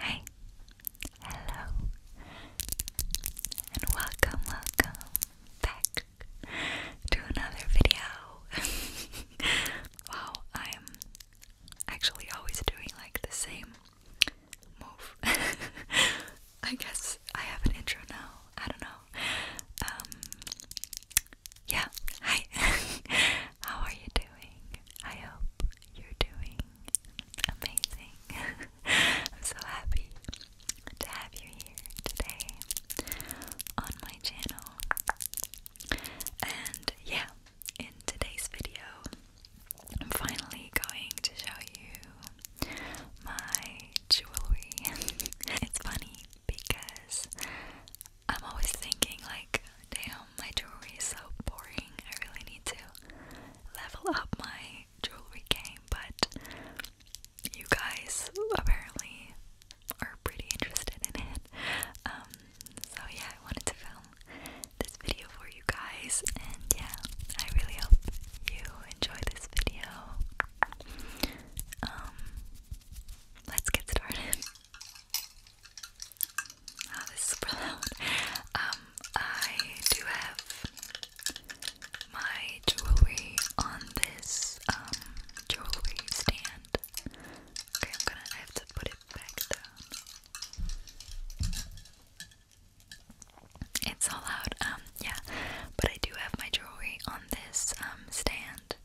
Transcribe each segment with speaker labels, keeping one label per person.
Speaker 1: Hey, hello, and welcome, welcome back to another video. wow, I'm actually always doing like the same move. I guess I have an intro now. I don't know. Um, yeah, hi. How are you doing? I hope you're doing amazing. I'm so happy to have you here today on my channel. And yeah, in today's video, I'm finally going to show you my jewelry. it's funny because I'm always thinking, like, damn, my jewelry is so boring. I really need to level up my jewelry game, but you guys apparently are pretty interested in it. Um, so yeah, I wanted to film this video for you guys, and yeah, I really hope you enjoy this video. Um, let's get started. Oh, this is super loud. Um, I do have my jewelry on this um jewelry stand. Okay, I'm gonna I have to put it it's all out, um, yeah. But I do have my jewelry on this um stand,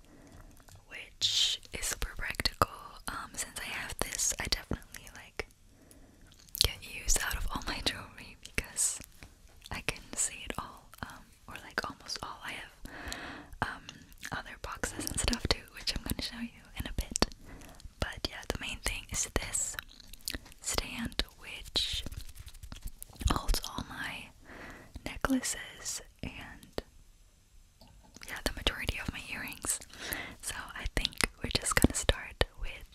Speaker 1: which is super practical. Um, since I have this, I definitely like get used out of all my jewelry because I can see it all, um, or like almost all. I have um other boxes and stuff too, which I'm gonna show you in a bit. But yeah, the main thing is this stand which holds all my necklaces and yeah, the majority of my earrings. So I think we're just gonna start with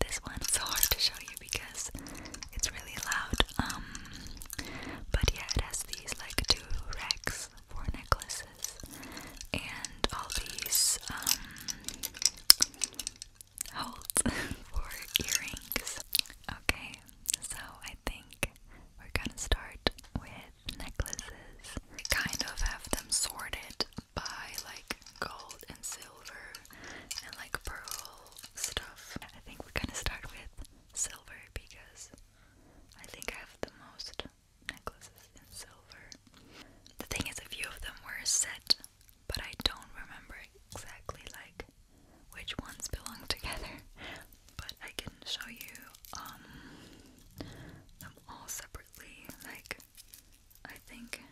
Speaker 1: this one. It's hard to show you because it's really loud. Um but yeah, it has these like two racks four necklaces and all these um holds for earrings. Okay, so I think we're gonna start with necklaces. We kind of have them sorted by like gold and silver and like pearl stuff. I think we're gonna start with silver because I think I have the most necklaces in silver. The thing is, a few of them were set, but I don't remember exactly like which ones belong together. But I can show you um them all separately. Like I think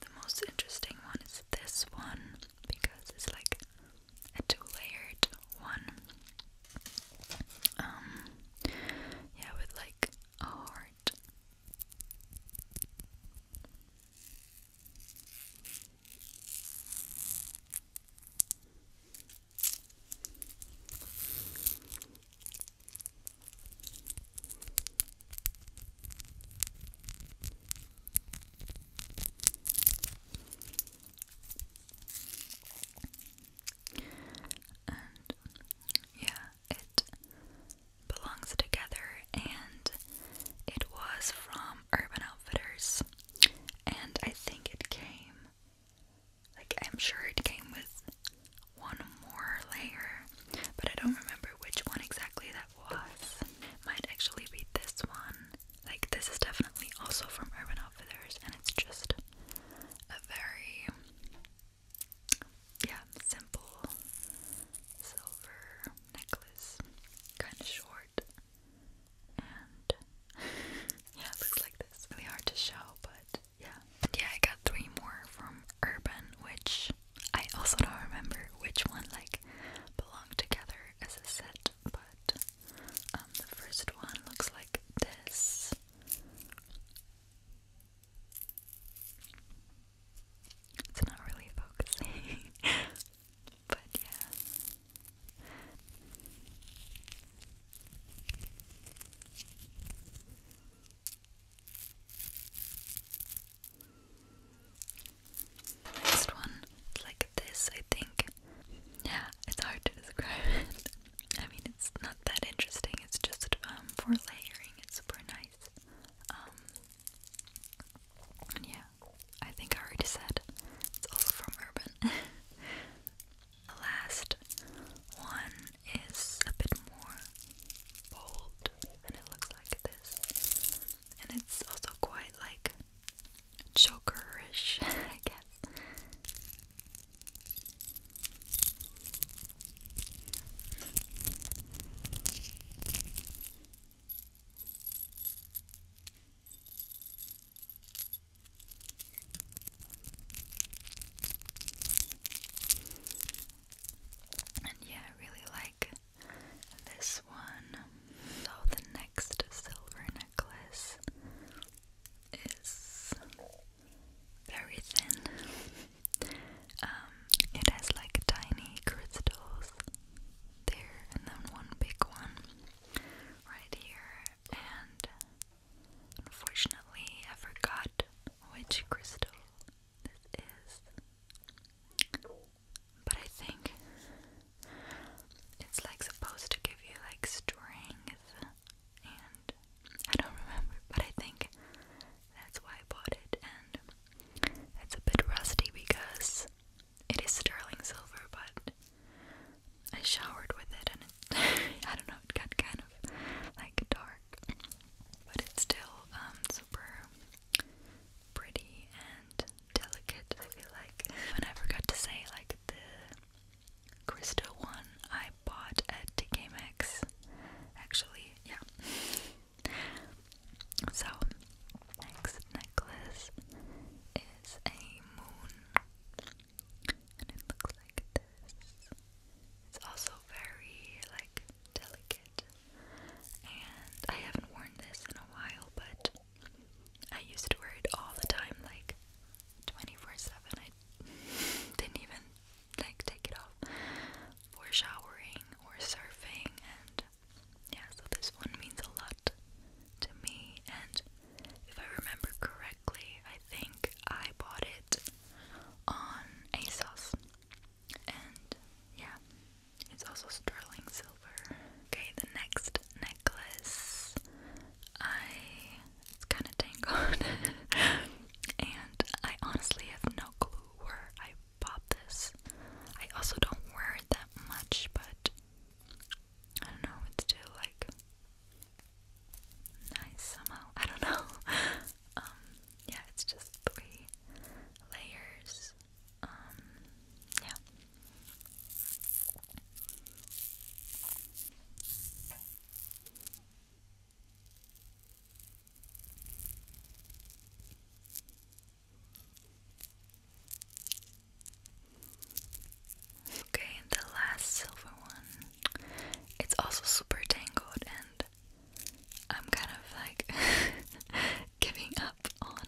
Speaker 1: the most interesting one is this one because it's like a two-layered one. Um, yeah, with like a heart yeah, it belongs together, and it was from Urban Outfitters, and I think it came, like I'm sure it came with one more layer, but I don't remember which one exactly that was. Might actually be this one. Like this is definitely also from Urban Outfitters, and it's just a very yeah, simple silver necklace. Kinda short. And yeah, it looks like this. Really hard to show, but yeah. yeah, I got three more from Urban, which I also don't remember which one like belong together as a set, but um, the first one looks like this. It's not really focusing, but yeah. Next one, like this, I think like, it's hard to describe I mean, it's not that interesting, it's just um, for layering, it's super nice. Um, yeah, I think I already said it's also from Urban. the last one is a bit more bold, and it looks like this. And it's also quite like jokerish, I guess. And yeah, really like this one. So the next silver necklace is very thin. Um, it has like tiny crystals there, and then one big one right here. And unfortunately, I forgot which crystal this is, but I think it's like supposed to give you like strength and I don't remember, but I think that's why I bought it, and it's a bit rusty because it is sterling silver, but I showered with it, and it, I don't know, it got kind of like dark, but it's still um super pretty and delicate. I feel like I never to say like the Crystal one I bought at TKMX. Actually, yeah. So next necklace is a moon. And it looks like this. It's also very like delicate. And I haven't worn this in a while, but I used to wear it all the time, like 24 7, didn't even like take it off for showering or surfing and yeah, so this one means a lot to me and if I remember correctly, I think I bought it on ASOS. And yeah, it's also sterling silver. Okay, the next necklace. I it's kind of tangled, and I honestly have no clue where I bought this. I also don't wear it that much, but I don't know. It's still like nice somehow. I don't know. Um, yeah, it's just three layers. Um, yeah. Okay, the last silver one. It's also super tangled, and I'm kind of like giving up on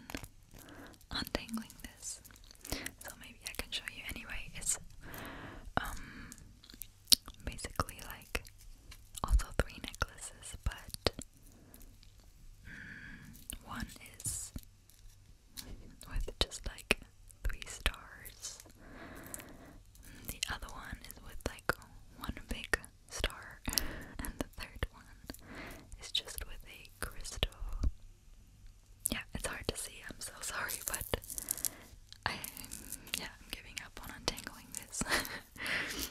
Speaker 1: untangling this. So maybe I can show you anyway. It's um basically like also three necklaces, but mm, one is with just like three stars. The other one is with like one big star, and the third one is just with a crystal yeah, it's hard to see. I'm so sorry, but I yeah, I'm giving up on untangling this.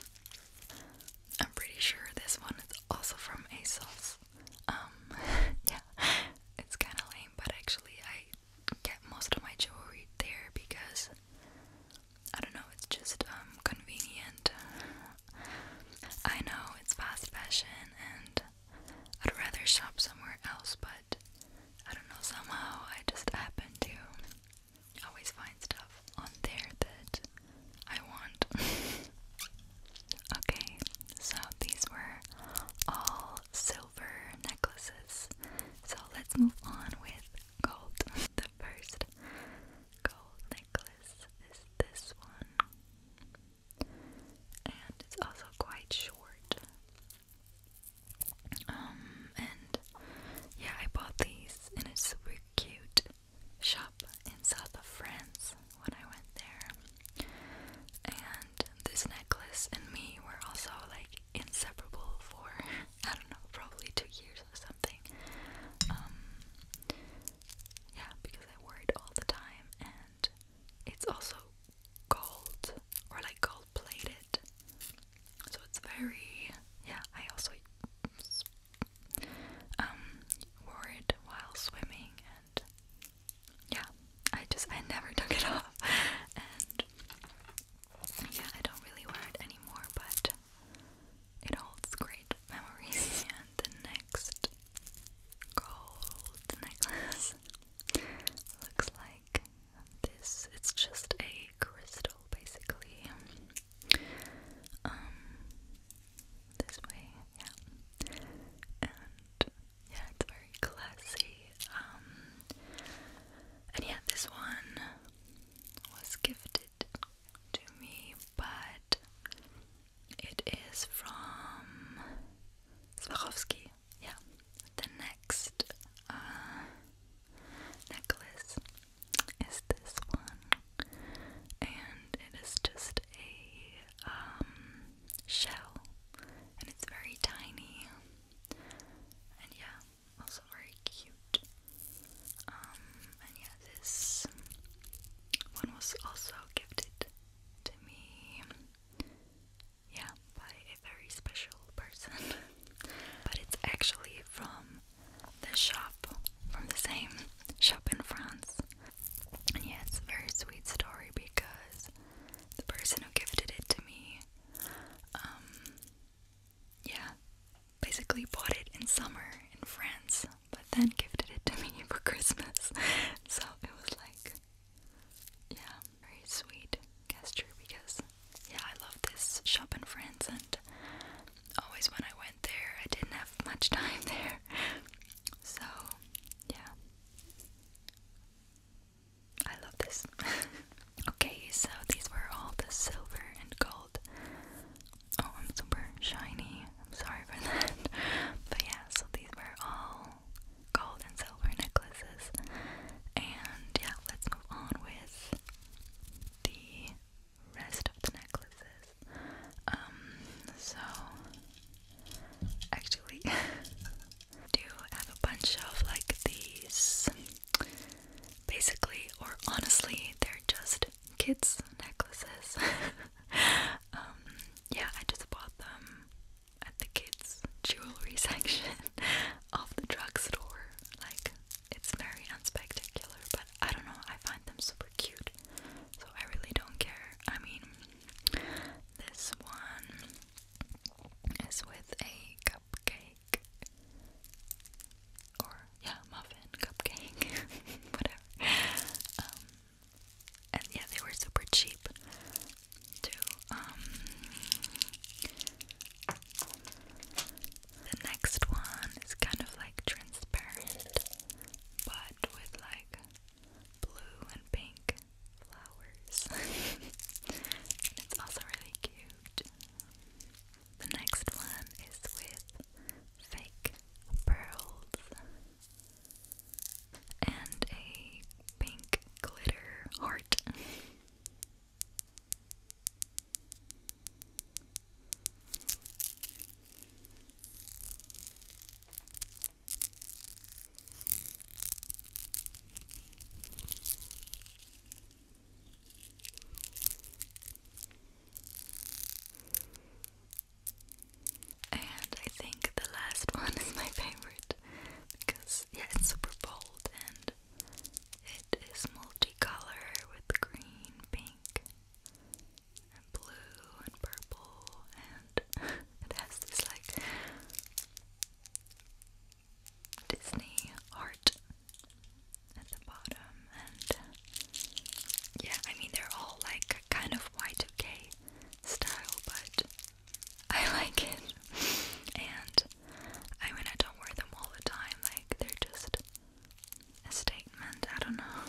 Speaker 1: I'm pretty sure this one is also from ASOS. Um, yeah, it's kind of lame, but actually I get most of my jewelry there because I don't know, it's just um, convenient. I know it's fast fashion and I'd rather shop somewhere else, but I don't know, somehow I just happen to always find stuff on there that I want. okay, so these were all silver necklaces. So let's move on with gold. the first gold necklace is this one and it's also quite short. Um, and yeah, I bought these in a super cute shop in south of France when I went there. And this necklace and me were also like inseparable for I don't know, probably two years or something. Um, yeah, because I wore it all the time, and it's also gold or like gold plated. So it's very yeah, I also um, wore it while swimming and yeah, I just I never took it off. and yeah, I don't really wear it anymore, but it holds great memories. and the next gold necklace Looks like this. It's just a crystal, basically. Um, this way, yeah. And yeah, it's very classy. Um, and yeah, this one was gifted to me, but it is from Swarovski yeah. The next uh, necklace is this one, and it is just a um, shell, and it's very tiny, and yeah, also very cute. Um, and yeah, this one was also gifted to me yeah, by a very special person. but it's actually from the shop, from the same shop in France. And yeah, it's a very sweet story because the person who gifted it to me, um, yeah, basically bought it in summer in France, but then gifted it to me for Christmas. so it was like yeah, very sweet gesture because yeah, I love this shop in France and always when I went there I didn't have much time there. So yeah. I love this. okay, so these were all the silver and gold. Oh, I'm super shiny. I'm sorry for that. But yeah, so these were all gold and silver necklaces. And yeah, let's move on with the rest of the necklaces. Um, so actually, I do have a bunch of like these basically, or honestly, they're just kids' necklaces. um, yeah, I just bought them at the kids' jewelry section of the drugstore. Like, it's very unspectacular, but I don't know, I find them super cute. So I really don't care. I mean, this one is with a cupcake. Or, yeah, muffin, cupcake, whatever. Um, and yeah, they were super cheap too. Um, the next one is kind of like transparent, but with like blue and pink flowers. it's also really cute. The next one is with fake pearls and a pink glitter heart. And I think the last one is my favorite because, yeah, it's super bold and it is multicolored with green, pink, and blue, and purple, and it has this like Disney art at the bottom. And yeah, I mean, they're all like kind of white okay style, but I like it. And I mean, I don't wear them all the time, like, they're just a statement. I don't know.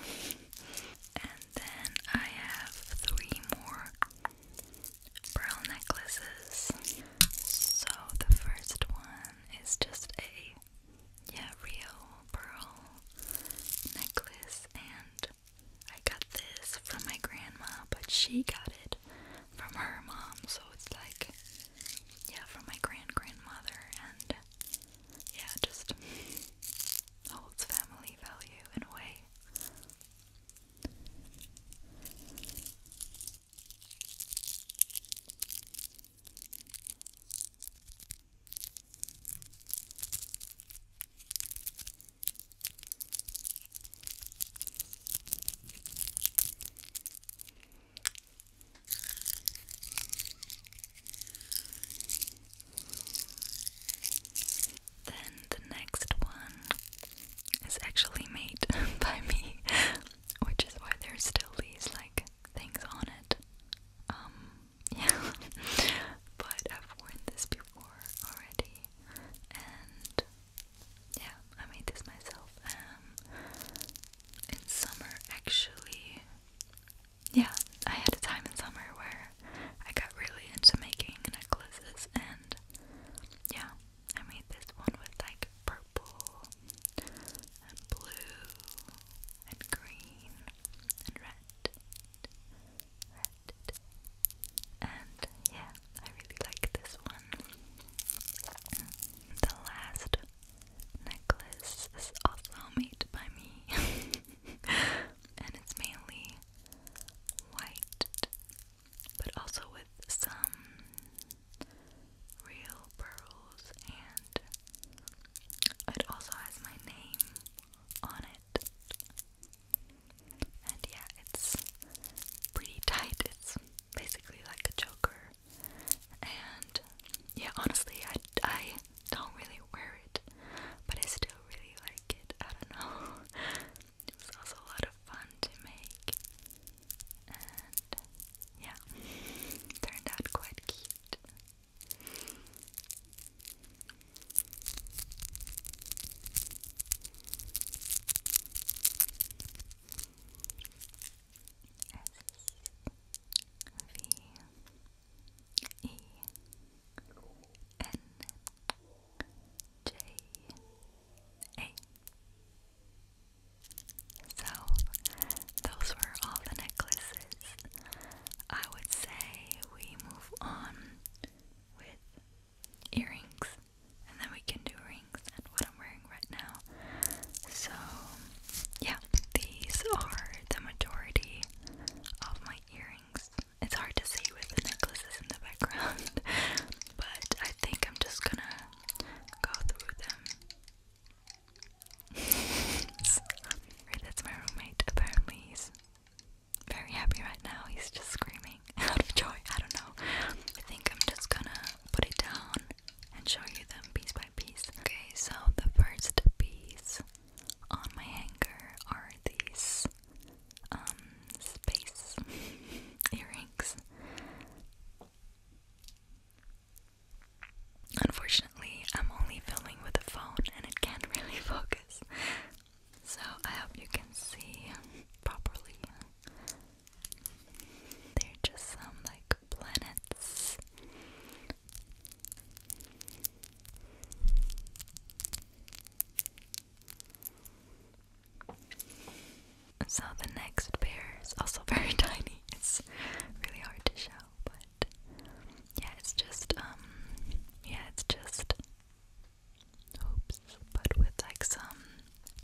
Speaker 1: And then I have three more pearl necklaces. So the first one is just a yeah, real pearl necklace, and I got this from my grandma, but she got it from her mom, so it's like, yeah, from my grand grandmother, and yeah, just holds family value in a way. Then the next one is actually made by me, which is why there's still these like things on it. Um, yeah, but I've worn this before already tea and yeah, I made this myself. Um in summer actually yeah, I had a time in summer where I got really into making necklaces and yeah, I made this one with like purple and blue and green and red and yeah, I really like this one. The last necklace is also made by me. and it's mainly white, but also with some real pearls, and it also has my name on it. And yeah, it's pretty tight. It's basically like a choker. And yeah, honestly, I, I don't really wear it, but I still really like it. I don't know. It was also a lot of fun to make. And yeah, turned out quite cute. V E N J A. So, those were all the necklaces. I would say we move on with earrings, and then we can do rings and what I'm wearing right now. So, yeah, these are the majority of my earrings. It's hard to see with the necklaces in the background, but I think I'm just gonna go through them. That's my roommate. Apparently, he's very happy right now. He's just screaming out of joy. I don't know. I think I'm just gonna put it down and show you them piece by piece. Okay, so the first piece on my hanger are these um, space earrings. Unfortunately, I'm only filming with a phone and it can't really focus. So I hope you can see properly. They're just some like planets. So the next pair is also very tiny. It's really hard to show, but yeah, it's just um yeah, it's just hopes, but with like some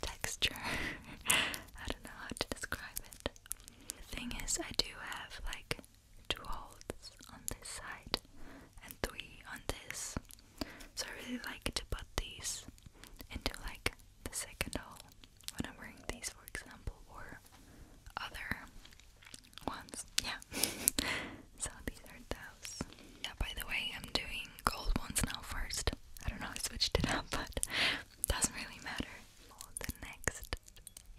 Speaker 1: texture. I don't know how to describe it. thing is, I do have like two holes on this side and three on this, so I really like to put these into like the second hole when I'm wearing these, for example, or other ones. Yeah. so these are those. Yeah, by the way, I'm doing gold ones now first. I don't know, I switched it up, but doesn't really matter. the next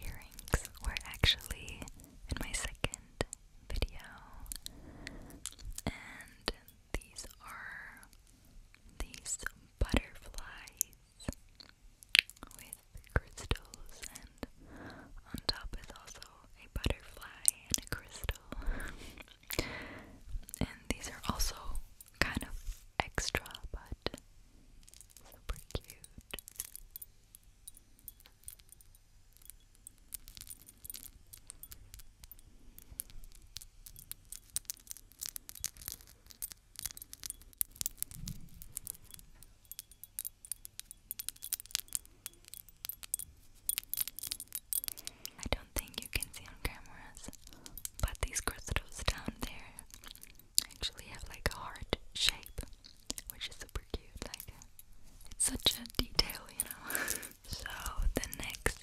Speaker 1: earrings were actually in my second video. And these are these butterflies with crystals and on top is also a butterfly and a crystal. and these are also kind of extra, but super cute. I don't think you can see on cameras, but these crystals down there actually have like a heart shape, which is super cute. Like, it's such a detail, you know. so, the next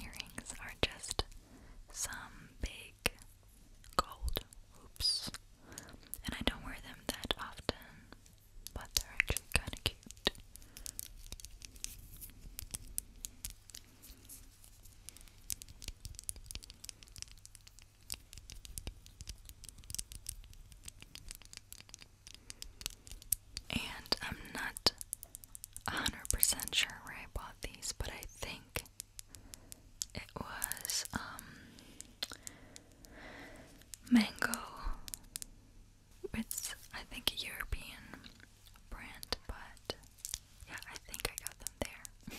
Speaker 1: earrings are just some big gold hoops and I don't wear them that often, but they're actually kind of cute. And I'm not 100% sure where I bought these, but I think it was um mango. It's I think a European brand, but yeah, I think I got them there.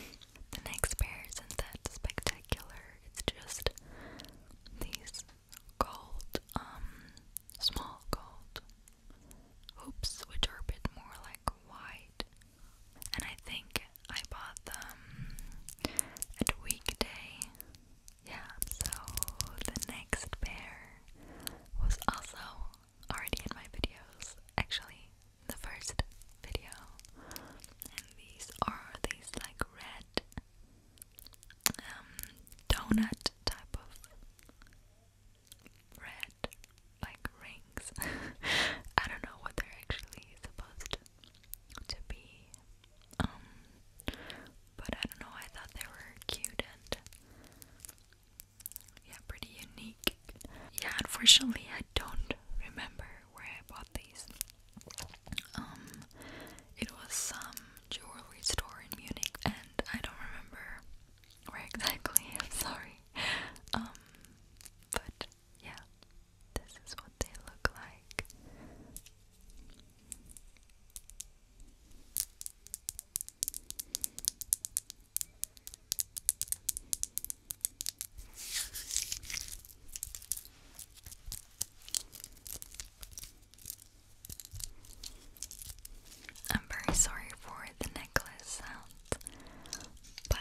Speaker 1: the next pair isn't that spectacular. It's just these gold, um, small gold hoops, which are a bit more like wide, and I think I bought them at weekday. Yeah, so the next pair was also already in my videos. Actually, the first video. And these are these like red um donut type of red like rings. I don't know what they're actually supposed to be. Um, but I don't know, I thought they were cute and yeah, pretty unique. Yeah, unfortunately, I don't remember where I bought these. Um, it was some jewelry store in Munich, and I don't remember where exactly. I'm sorry. Um, but yeah, this is what they look like. I'm very sorry for the necklace but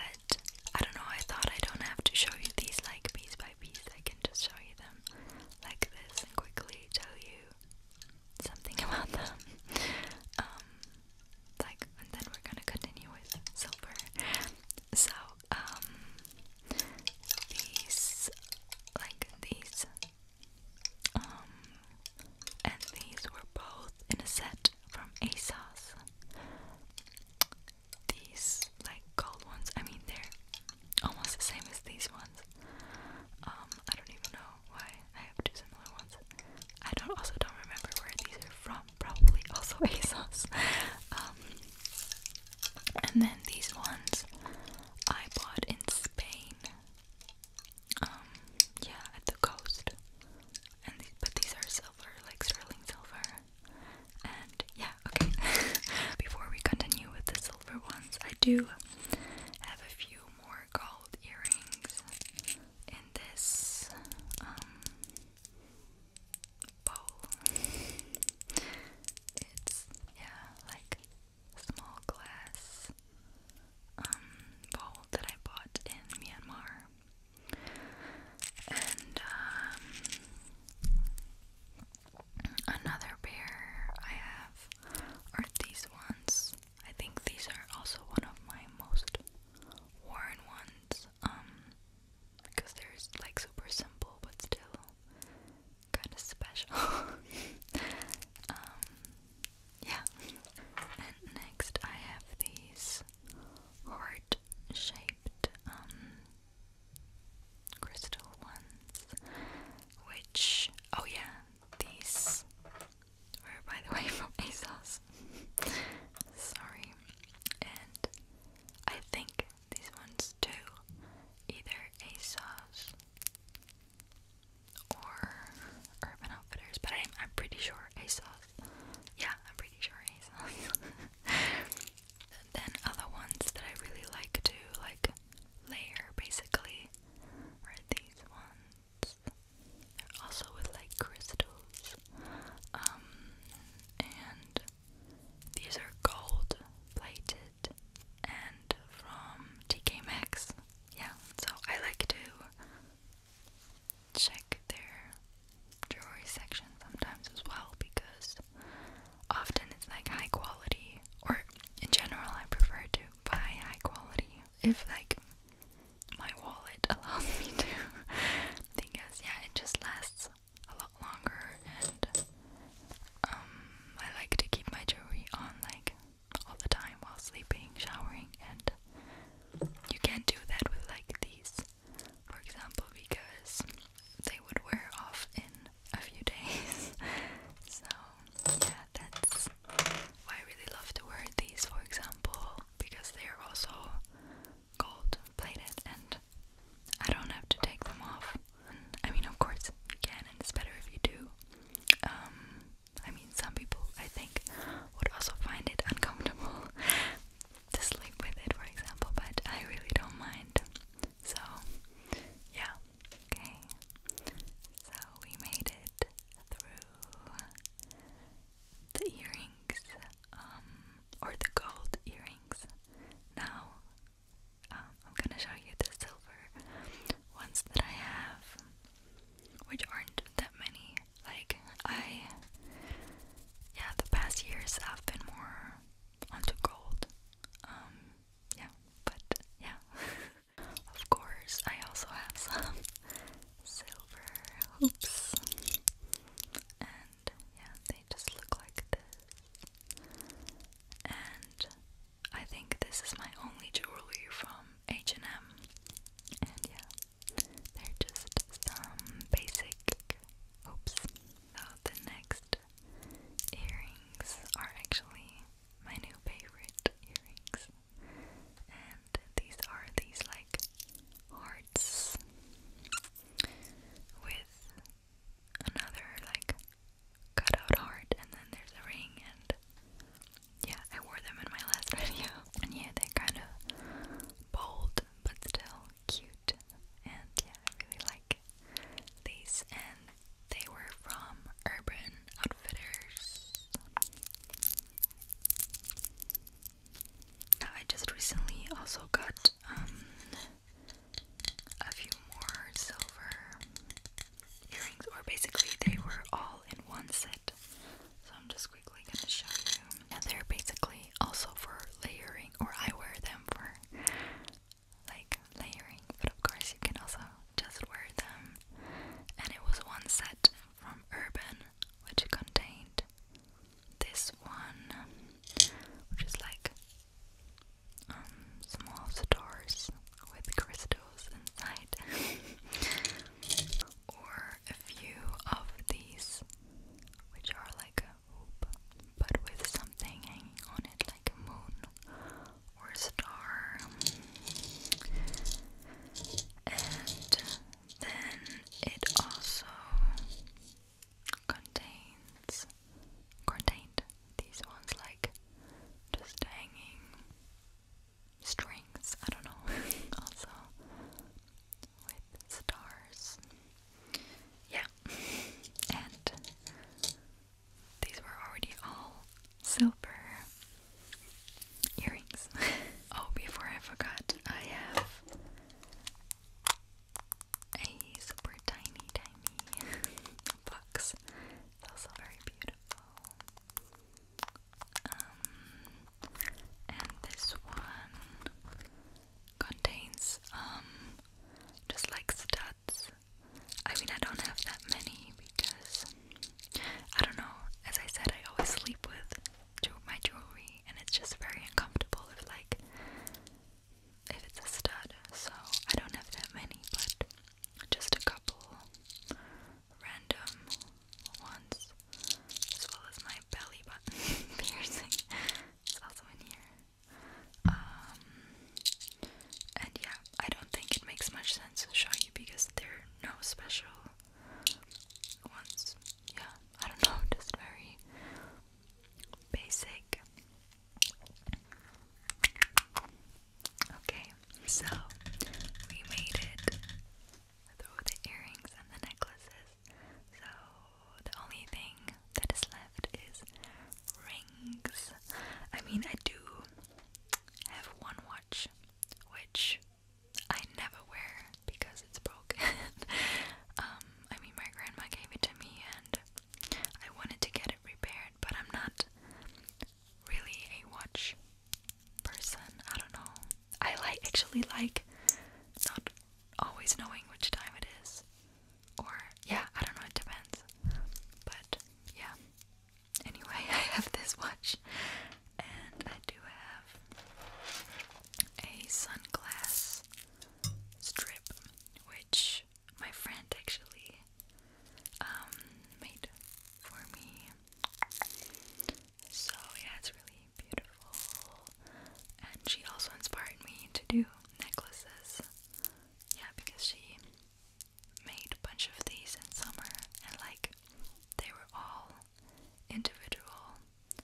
Speaker 1: I don't know. I thought I don't have to show you these like piece by I can just show you them like this and quickly tell you something about them. Um, like, and then we're gonna continue with silver. So, um, these, like these, um, and these were both in a set from ASOS these like gold ones. I mean, they're almost the same as these ones. Um, I don't even know why I have two similar ones. I don't also don't remember where these are from. Probably also ASOS. um, and then these ones I bought in Spain. Um, yeah, at the coast. And these, but these are silver, like sterling silver. And yeah, okay. Before we continue with the silver ones, I do have a few more gold earrings in this um, bowl. It's, yeah, like small glass um, bowl that I bought in Myanmar. And um, another pair I have are these ones. I think these are also one of my most worn ones. Um, because they're like super simple but still kind of special. Um, yeah. And next I have these heart shaped crystal ones, which, oh yeah, these were by the way from ASOS. Sorry. And I think these ones too, either ASOS or Urban Outfitters, but I'm, I'm pretty sure ASOS. Yeah, I'm pretty sure ASOS. than other ones that I really like to like layer basically are these ones. They're also with like crystals. Um, and these are gold plated and from TK Maxx. Yeah, so I like to check there jewelry section sometimes as well because often it's like high quality, or in general, I prefer to buy high quality if like my wallet allows me to because yeah, it just lasts a lot longer and um, I like to keep my jewelry on like all the time while sleeping, showering, and you can't do that with like these for example, because they would wear off in a few days. so, yeah, that's why I really love to wear these, for example, because they are also gold plated and I don't have to take them off. I mean, of course, you can, and it's better if you do. Um, I mean, some people I think would also find it uncomfortable, to sleep for example, but I really don't mind. So, yeah, okay. So, we made it through the earrings, um, or the gold earrings. Now, um, I'm gonna show you the silver ones that I have, which aren't that many. Like, I yeah, the past years I've been more onto gold. Um, yeah, but yeah. of course, I also have some silver hoops, and yeah, they just look like this. And I think this is my only jewelry from H and M, and yeah, they're just some basic hoops. Though the next earrings are actually my new favorite earrings. And these are these like hearts with another like cut out heart and then there's a ring and yeah, I wore them in my last video. And yeah, they're kind of bold but still cute and yeah, I really like these and they were from Urban Outfitters. I just recently also got um, a few more silver earrings or basically they were all in one set. So I'm just quickly gonna show you. And they're basically also for layering or I wear them for like layering, but of course you can also just wear them. And it was one set from Urban which contained this one, which is like um, small stars with crystals inside, or a few of these, which are like but with something hanging on it like a moon or star. And then it also contains contained these ones like just hanging strings, I don't know. also with stars. Yeah. and these were already all silver earrings. oh, before I forgot, I have a super tiny, tiny box. also very beautiful. Um, and this one contains um, just like stats. I mean, I don't have that many because I don't know. As I said, I always sleep with my jewelry, and it's just very uncomfortable if like if it's a stud. So I don't have that many, but just a couple random ones, as well as my belly button piercing. It's also in here. Um, and yeah, I don't think it makes much sense to show you because they are no special ones. Yeah, I don't know, just very basic. Okay, so we made it through the earrings and the necklaces. So the only thing that is left is rings. I mean, I do have one watch, which I never wear because it's broken. Um, I mean, my grandma gave it to me, and I wanted to get it repaired, but I'm not really a watch person. I don't know. I like actually like not always knowing which time it is. Or, yeah, I don't know, it depends. But, yeah. Anyway, I have this watch, and I do have a sunglass strip, which my friend actually um, made for me. So, yeah, it's really beautiful. And she also inspired me to do necklaces. Yeah, because she made a bunch of these in summer and like they were all individual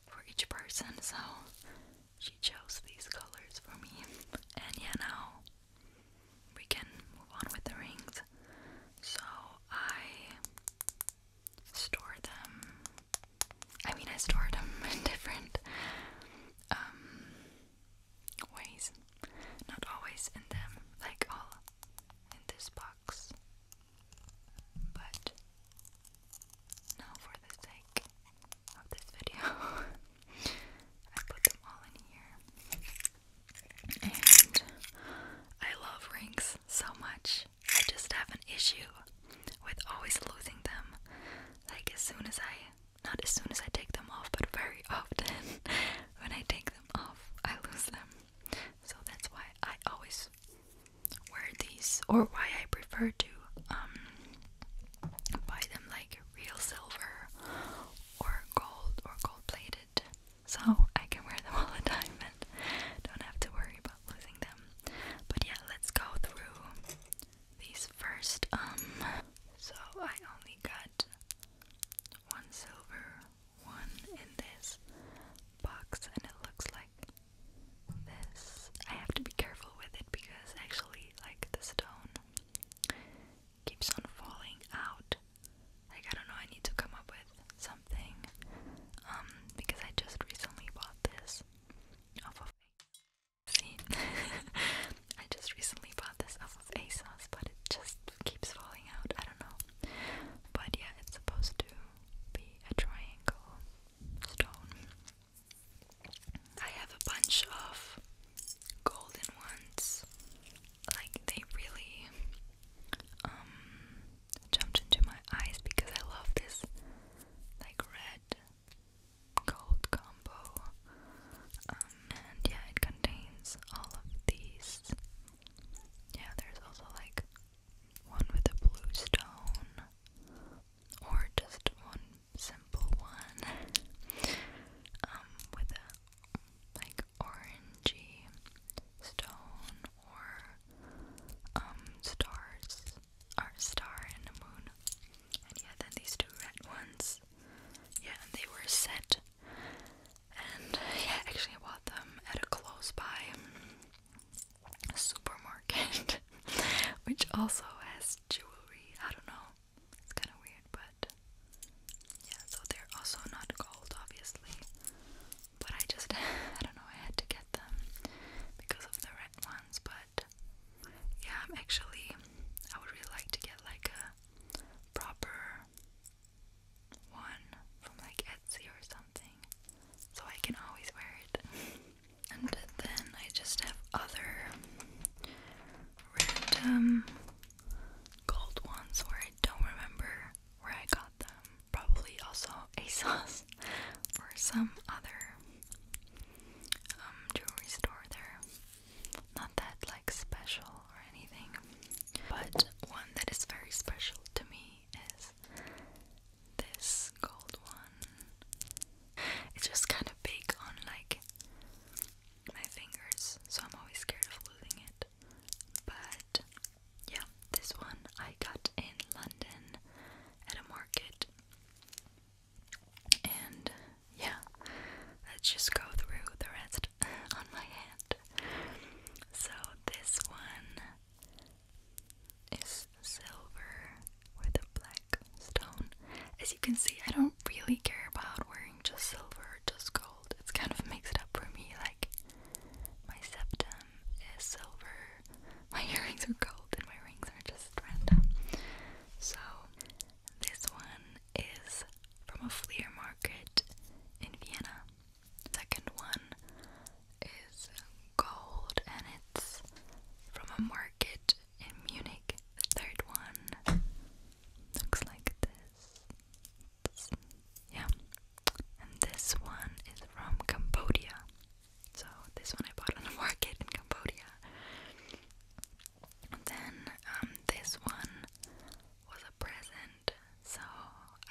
Speaker 1: for each person, so she chose these colors for me. And yeah, now we can move on with the rings. So I store them. I mean, I store them in different um, ways, not always in them, like all in this box, but now for the sake of this video, I put them all in here. And I love rings so much. I just have an issue with always losing them. Like, as soon as I, not as soon as I take them off, but very often when I take them off, I lose them. So that's why I always wear these, or why I prefer to um, buy them like real silver or gold or gold plated. So I can wear them all the time and don't have to worry about losing them. But yeah, let's go through these first. Um, so I only got one silver one in this box, and it looks like this. I have to be careful with it because actually, like the stone keeps on falling out. Like I don't know, I need to come up with something. Um, because I just recently bought this off of See, I just recently bought this off of ASOS, but it just keeps falling out. I don't know. But yeah, it's supposed to be a triangle stone. I have a bunch of golden ones. Like, they really, um, jumped into my eyes because I love this like red gold combo. Um, and yeah, it contains all of these. Yeah, there's also like one with a blue stone, or just one simple one um, with a like orangey stone or um, stars are a star and a moon. And yeah, then these two red ones. Yeah, and they were set. And yeah, actually, I bought them at a close by supermarket, which also has jewelry. I don't know, it's kind of weird, but yeah, so they're also not gold, obviously. But I just, I don't know, I had to get get them because of the red ones, but yeah, I'm actually, I would really like to get like a proper one from like Etsy or something so I can always wear it. and then I just have other random gold ones where I don't remember where I got them probably also a sauce or some other um, jewelry store there. Not that like special or anything. But one that is very special to me is this gold one. It's just kind of big on like my fingers, so I'm always scared of losing it. But yeah, this one I got in London at a market. And yeah, let's just go through the rest on my hand. So this one is silver with a black stone. As you can see, I don't really care about wearing just silver, just gold. It's kind of mixed up for me, like my septum is silver. My earrings are gold and my rings are just random. So this one is from a flea market in Vienna. Second one is gold and it's from a market in Munich. The third one looks like this. yeah. And this one is from Cambodia. So this one I bought on the market in Cambodia. And then um, this one was a present, so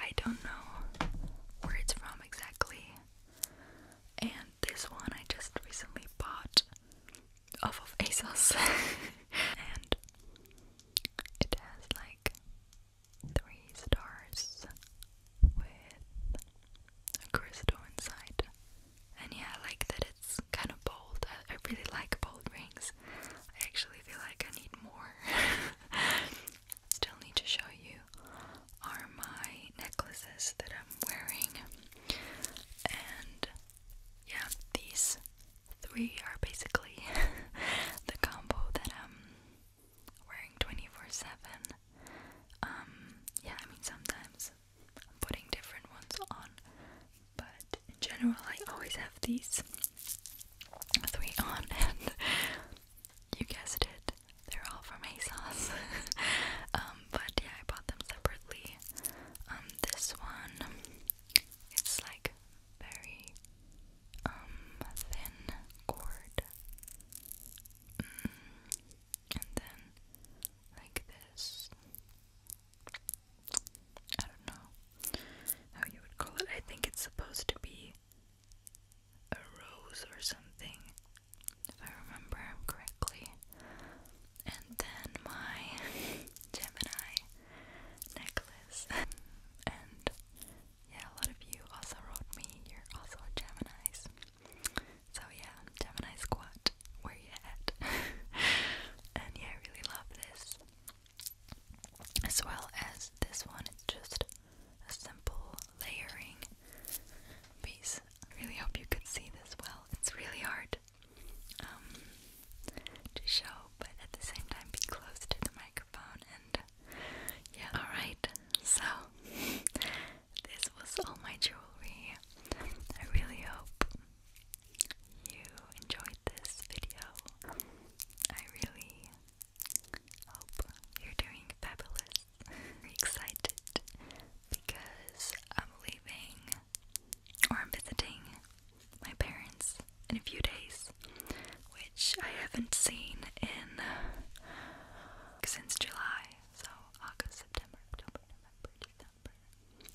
Speaker 1: I don't know where it's from exactly. And this one I just recently bought off of ASOS, and it has like three stars with a crystal inside. And yeah, I like that it's kind of bold. I, really like bold rings. I actually feel like I need more. Still need to show you are my necklaces that I'm wearing. And yeah, these three are basically the combo that I'm wearing 24-7. Um, yeah, I mean, sometimes I'm putting different ones on, but in general, I always have these three on, and you guessed it, they're all from ASOS. Um, but yeah, I bought them separately. Um, this one is like very thin cord Mm, and then like this. I don't know how you would call it. I think it's supposed to be a rose or something, if I remember correctly. And then my Gemini necklace and yeah, a lot of you also wrote me, you're also Gemini's. So yeah, Gemini Squad, where you at? and yeah, I really love this. As well as this one, it's just a simple layering piece. I really hope you could see this well. It's really hard um, to show, but at the same time, be close to the microphone and yeah, alright. So, this was all my jewelry. I really hope you enjoyed this video. I really hope you're doing fabulous. excited because I'm leaving or I'm visiting my parents in a few days, which I haven't seen in uh, since July. So August, September, October, November, December.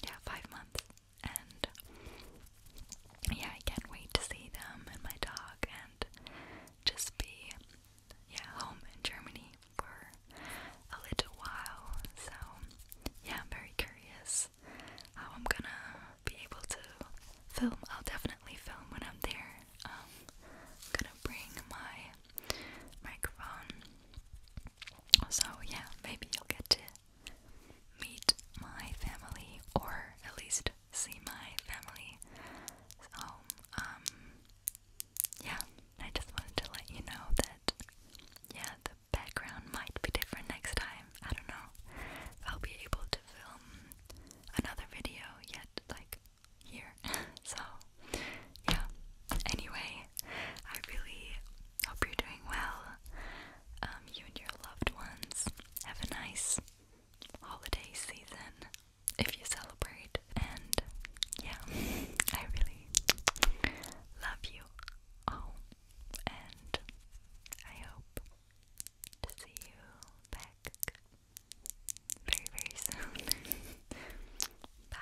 Speaker 1: Yeah, five months. And yeah, I can't wait to see them and my dog and just be yeah, home in Germany for a little while. So yeah, I'm very curious how I'm gonna be able to film. I'll definitely film when I'm there I'm gonna bring my microphone. So yeah, maybe you'll get to meet my family or at least see my family. So um yeah, I just wanted to let you know that yeah, the background might be different next time. I don't know. I'll be able to film another video yet like here. so, yeah. Anyway, I really hope you're doing well. Um, you and your loved ones have a nice holiday season if you celebrate. And yeah, I really love you all. And I hope to see you back very, very soon. Bye.